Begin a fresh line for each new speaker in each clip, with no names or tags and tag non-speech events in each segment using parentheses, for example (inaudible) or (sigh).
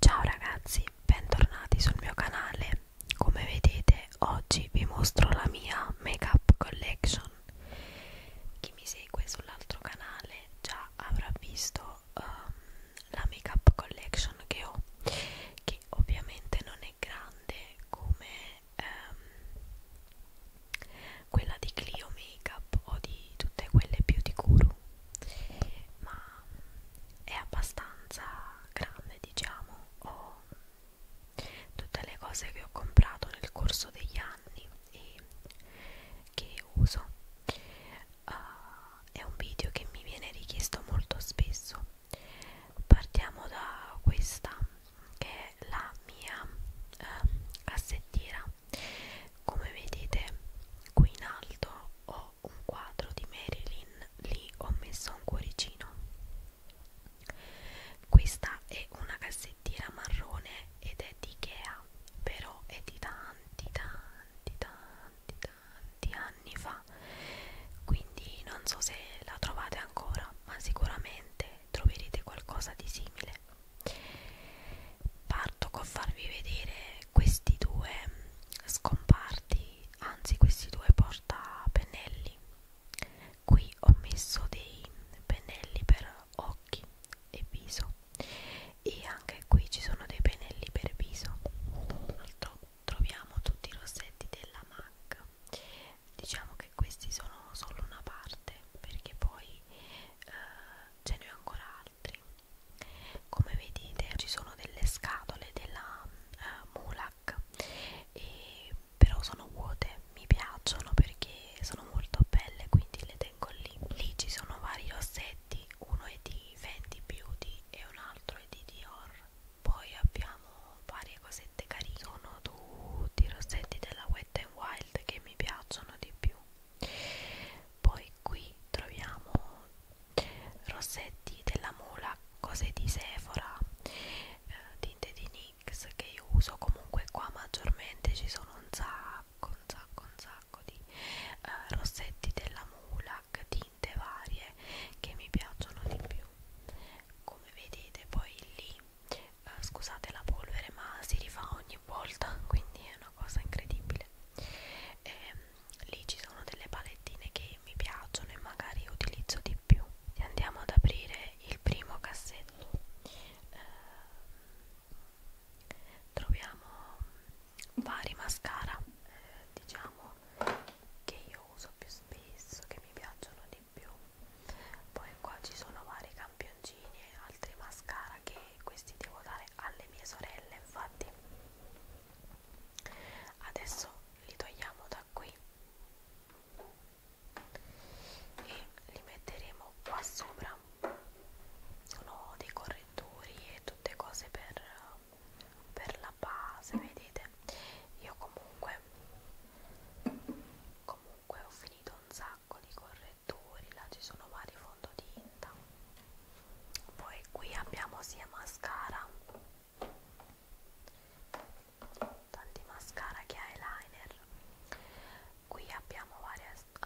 Ciao ragazzi, bentornati sul mio canale. Come vedete, oggi vi mostro la mia make-up collection. Chi mi segue sull'altro canale già avrà visto um, la make-up collection che ho, che ovviamente non è grande come um, quella di Clio Makeup o di tutte quelle beauty guru ma è abbastanza grande diciamo ho tutte le cose che ho comprato nel corso degli anni e che uso uh, è un video che mi viene richiesto molto spesso partiamo da questa che è la mia uh, cassettiera come vedete qui in alto ho un quadro di Marilyn lì ho messo un cuoricino questa è una cassettina marrone ed è di Ikea però è di tanti tanti tanti tanti anni fa quindi non so se la trovate ancora ma sicuramente troverete qualcosa di simile parto con farvi vedere questi due scomparti anzi questi due portapennelli qui ho messo dei pennelli per occhi e viso e anche qui ci sono dei pennelli per viso Altro, troviamo tutti i rossetti della MAC diciamo che questi sono solo una parte perché poi eh, ce ne ho ancora altri come vedete ci sono delle scatole della uh, Mulak e però sono vuote mi piacciono perché sono molto belle quindi le tengo lì lì ci sono vari rossetti uno è di Fenty Beauty e un altro è di Dior poi abbiamo varie cosette carine sono tutti i rossetti della Wet n Wild che mi piacciono di più poi qui troviamo rossetti della Mula, cose di Sephora, eh, tinte di NYX che io uso comunque qua maggiormente, ci sono un sacco, un sacco, un sacco di eh, rossetti della Mulac, tinte varie che mi piacciono di più. Come vedete poi lì, eh, scusate la polvere ma si rifà ogni volta, (laughs) quindi è una una cosa incredibile e, ehm, lì ci sono delle palettine che mi piacciono e magari utilizzo di più e andiamo ad aprire il primo cassetto eh, troviamo vari mascara eh, diciamo che io uso più spesso che mi piacciono di più poi qua ci sono vari campioni campioncini e altri mascara che questi devo dare alle mie sorelle infatti adesso li togliamo da qui e li metteremo qua sopra sono dei correttori e tutte cose per, per la base vedete io comunque comunque ho finito un sacco di correttori correttori, là ci sono vari fondotinta. Poi qui abbiamo sia mascara, tanti mascara che eyeliner. Qui abbiamo vari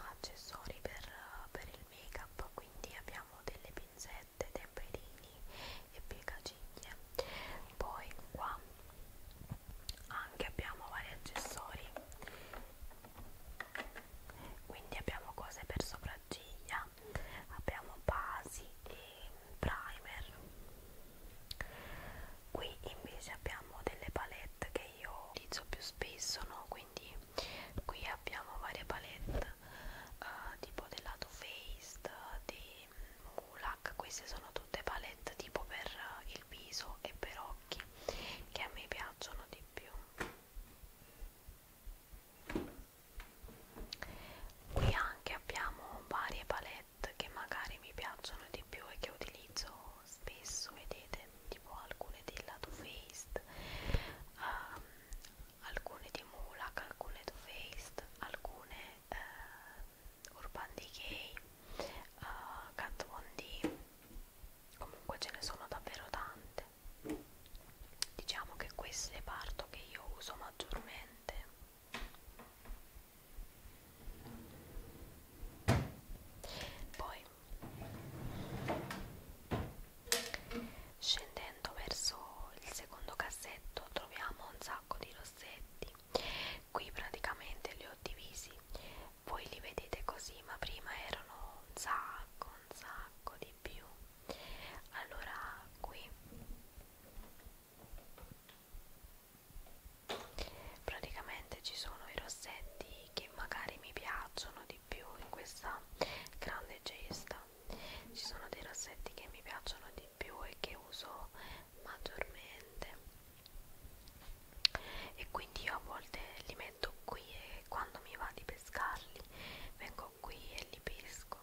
accessori per, per il make up, quindi abbiamo delle pinzette, temperini e piegaciglie. Poi qua anche abbiamo vari accessori quindi abbiamo cose per sopracciglia abbiamo basi e primer qui invece abbiamo delle palette che io utilizzo più spesso no quindi qui abbiamo varie palette uh, tipo della Too Faced di Mulak queste sono tutte palette tipo per il viso e per occhi che a me piacciono di più qui anche abbiamo varie palette che magari mi piacciono di più e che utilizzo spesso vedete tipo alcune della Too Faced um, alcune di Mulak alcune Too Faced alcune uh, Urban Decay uh, Kat Von D comunque ce ne sono davvero tante diciamo che questo è parto che io uso maggiormente poi scendendo verso il secondo cassetto troviamo un sacco di rossetti qui praticamente li ho divisi voi li vedete così ma prima erano un sacco un sacco di più allora qui praticamente ci sono i rossetti che magari mi piacciono di più in questa grande cesta ci sono dei rossetti che mi piacciono di più e che uso maggiormente e quindi io a volte li metto qui e quando mi va di pescarli vengo qui e li pesco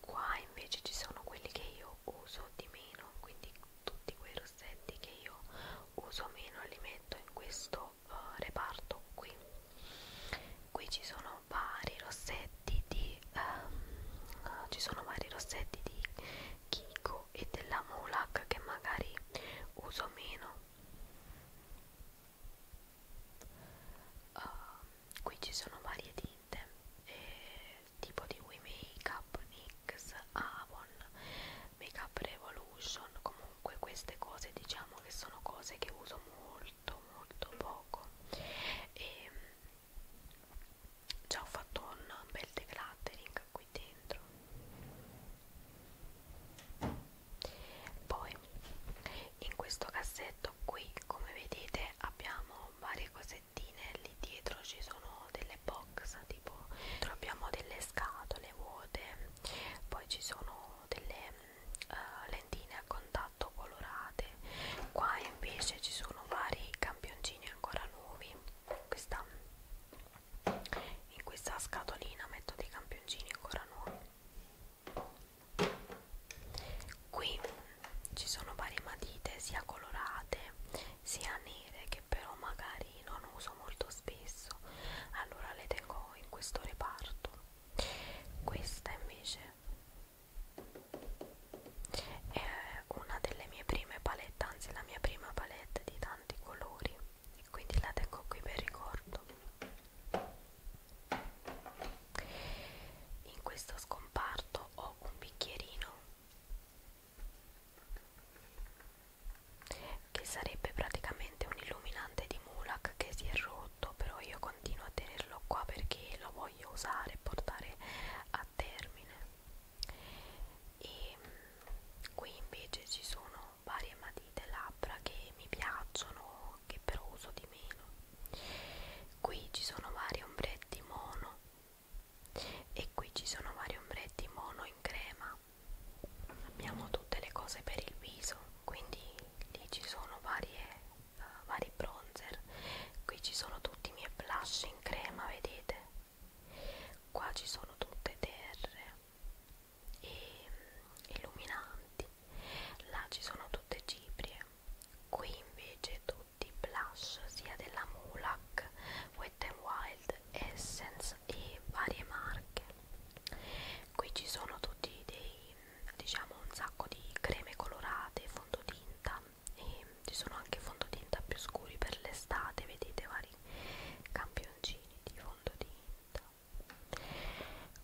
qua invece ci sono quelli che io uso di meno quindi tutti quei rossetti che io uso meno li metto in questo uh, reparto qui qui ci sono vari rossetti di um, ci sono vari rossetti di Kiko Dio e della Mulak che magari uso meno uh, qui ci sono varie tinte eh, tipo di We Makeup, NYX, Avon, Makeup Revolution comunque queste cose diciamo che sono cose che uso molto molto poco e ehm, già ho fatto un bel decluttering qui dentro poi in questo cassetto qui come vedete abbiamo varie cosettine lì dietro ci sono delle box tipo troviamo delle scatole vuote poi ci sono delle uh, lentine a contatto colorate qua invece ci sono vari campioncini ancora nuovi questa in questa scatolina metto dei campioncini ancora nuovi qui ci sono varie matite sia colorate sia nere che però magari non uso molto spesso allora le tengo in questo reparto questa invece è una delle mie prime palette, anzi la mia prima palette di tanti colori e quindi la tengo qui per ricordo. In questo scomparto ho un bicchierino che sarebbe praticamente un illuminante di Mulak che si è rotto, però io continuo a tenerlo qua perché lo voglio usare e portare a termine e mm, qui invece ci sono varie matite labbra che mi piacciono che però uso di meno qui ci sono vari ombretti mono e qui ci sono vari ombretti mono in crema abbiamo tutte le cose per il viso quindi lì ci sono varie, uh, vari bronzer qui ci sono tutti i miei blush in crema vedete qua ci sono tutte terre e illuminanti là ci sono tutte ciprie qui invece tutti i blush sia della Mulak Wet n Wild Essence e varie marche qui ci sono tutti dei diciamo un sacco di creme colorate fondotinta e ci sono anche fondotinta più scuri per l'estate vedete vari campioncini di fondotinta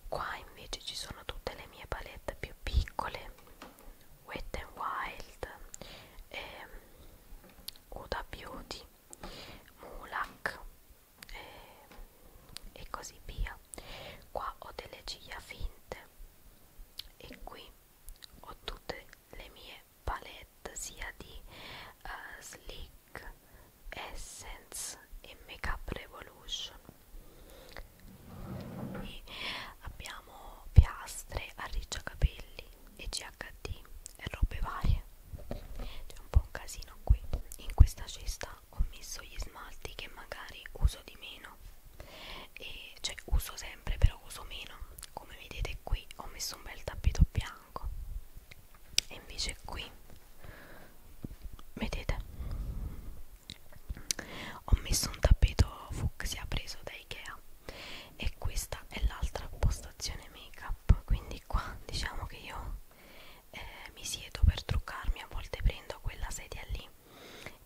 qua invece ci sono tutte le mie palette più piccole Wet n Wild ehm, Uda Beauty Mulak ehm, e così via qua ho delle ciglia finte e qui ho tutte le mie palette sia di uh, Sleek, Essence e Makeup Revolution e abbiamo piastre, arricciacapelli e GHD e robe varie c'è un po' un casino qui in questa cesta ho messo gli smalti che magari uso di meno e cioè uso sempre però uso meno come vedete qui ho messo un bel tappeto bianco e invece qui vedete ho messo un tappeto fucsia preso da Ikea e questa è l'altra postazione make up quindi qua diciamo che io eh, mi siedo per truccarmi a volte prendo quella sedia lì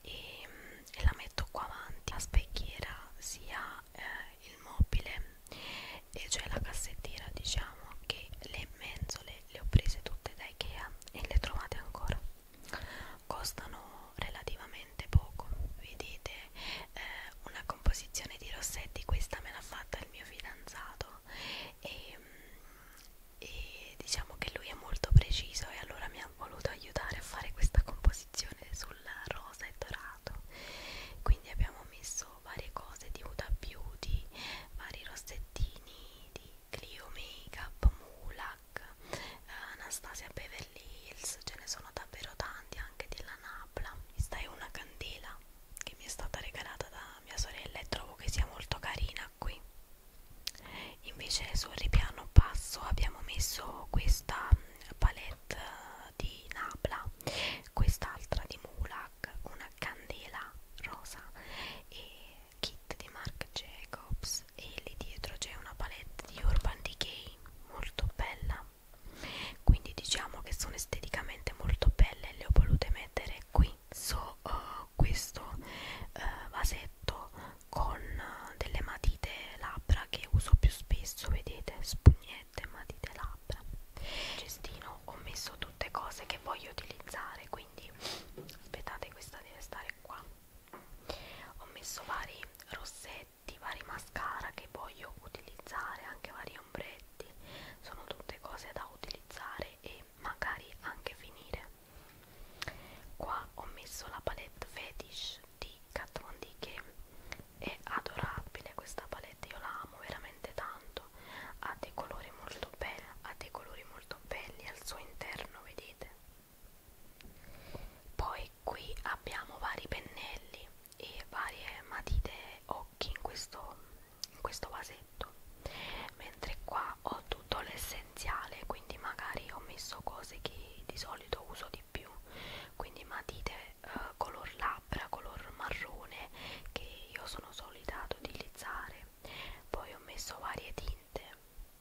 e, mm, e la metto qua avanti la specchiera sia eh, il mobile e cioè la cassettiera diciamo che le mensole le ho prese tutte da Ikea e le trovate ancora costano relativamente poco vedete eh, una composizione di rossetti questa me l'ha fatta il mio fidanzato e, mm, e diciamo che lui è molto preciso e allora mi ha voluto aiutare a fare questa composizione sul rosa e dorato quindi abbiamo messo varie cose di Huda Beauty vari rossettini di Clio Makeup, Mulak, Anastasia Beverly Hills ce ne sono davvero tanti anche della Napla questa è una candela che mi è stata regalata da mia sorella e trovo che sia molto carina qui invece sul ripiano basso abbiamo messo questa mm, palette eh, di Napla quest'altra di Mulak una candela rosa e kit di Marc Jacobs e lì dietro c'è una palette di Urban Decay molto bella quindi diciamo che sono esteticamente molto belle e le ho volute mettere qui su so, uh, eh, questo uh, vasetto con delle matite labbra che uso più spesso vedete spugnette matite labbra nel cestino ho messo tutte cose che voglio utilizzare quindi aspettate questa deve stare qua ho messo vari rossetti vari mascara che voglio utilizzare anche vari ombretti sono tutte cose da utilizzare e magari anche finire qua ho messo la palette fetish di Kat Von D che è adorabile questa palette io la amo veramente tanto ha dei colori molto belli ha dei colori molto belli al suo interno vedete poi qui abbiamo vari pennelli e varie matite occhi in questo, in questo vasetto mentre qua ho tutto l'essenziale essenziale quindi magari ho messo cose che di solito uso di più quindi matite eh, color labbra color marrone che io sono solita ad utilizzare poi ho messo varie tinte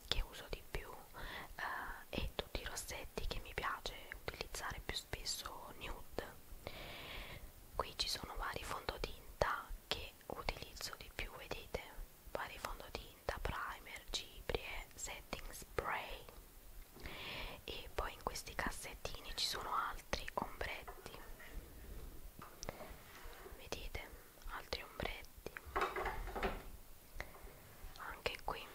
che uso di più eh, e tutti i rossetti che mi piace utilizzare più spesso nude qui ci sono vari fondotinta che utilizzo di più vedete vari fondotinta tinta, primer, ciprie, setting spray e poi in questi cassettini ci sono altri ombretti vedete altri ombretti anche qui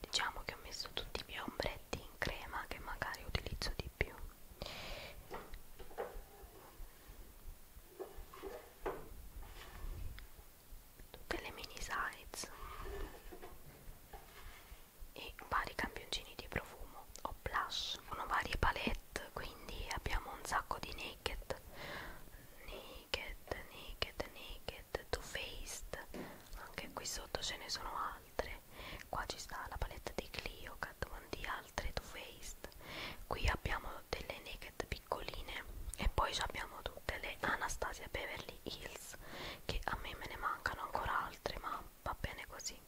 diciamo che ho messo tutti i miei ombretti in crema che magari utilizzo di più tutte le mini size e vari campioncini di profumo o blush sono varie palette quindi abbiamo un sacco di naked naked naked naked two faced anche qui sotto ce ne sono altre qua ci sta la palette di Clio Kat Von D altre two faced qui abbiamo delle naked piccoline e poi abbiamo tutte le Anastasia Beverly Hills che a me me ne mancano ancora altre ma va bene così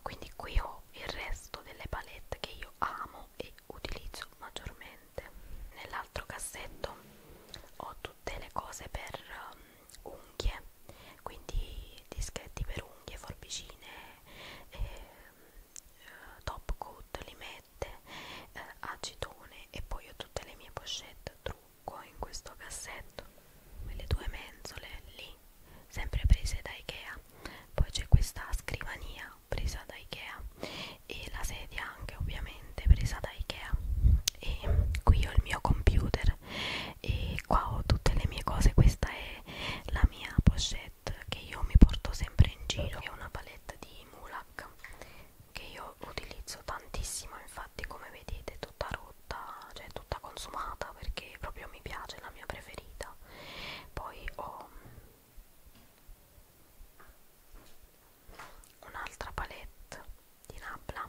quindi qui ho il resto delle palette che io amo e utilizzo maggiormente nell'altro cassetto ho tutte le cose per um, unghie quindi dischetti per unghie, forbicine eh, eh, top coat li mette eh, acetone e poi ho tutte le mie pochette trucco in questo cassetto quelle due mensole lì sempre prese da Ikea poi c'è questa scrivania presa da Ikea e la sedia anche ovviamente presa da Ikea e qui ho il mio computer e qua ho tutte le mie cose questa è la mia pochette palette che io mi porto sempre in giro è una palette di Mulak che io utilizzo tantissimo infatti come vedete tutta rotta cioè tutta consumata perché proprio mi piace è la mia preferita poi ho un'altra palette di Nabla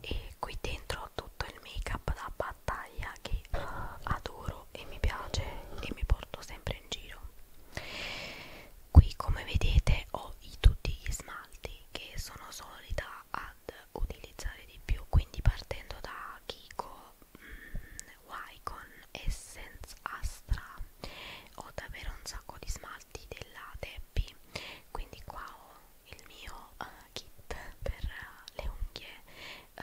e qui dentro ho tutto il make up da battaglia che uh, adoro e mi piace e mi porto sempre in giro qui come vedete ho i, tutti gli smalti che sono solita ad utilizzare di più quindi partendo da Kiko mm, Wycon Essence Astra ho davvero un sacco di smalti della Debbie quindi qua ho il mio uh, kit per uh, le unghie eh,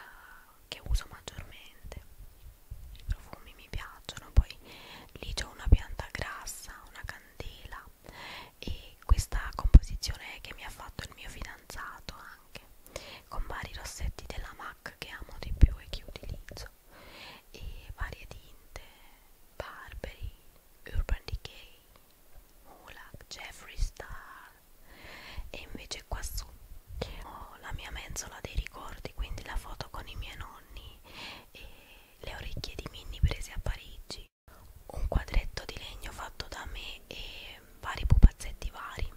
che uso maggiormente i profumi mi piacciono poi lì c'ho una pianta grassa una candela e questa composizione che mi ha fatto il mio fidanzato anche con vari rossetti della MAC che amo di più e che utilizzo e varie tinte Barberi, Urban Decay, Mulak, Jeffree Star e invece qua su ho la mia mensola dei ricordi quindi la foto con i miei nonni e le orecchie di Minnie prese a Parigi un quadretto di legno fatto da me e vari pupazzetti vari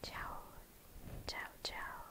ciao ciao ciao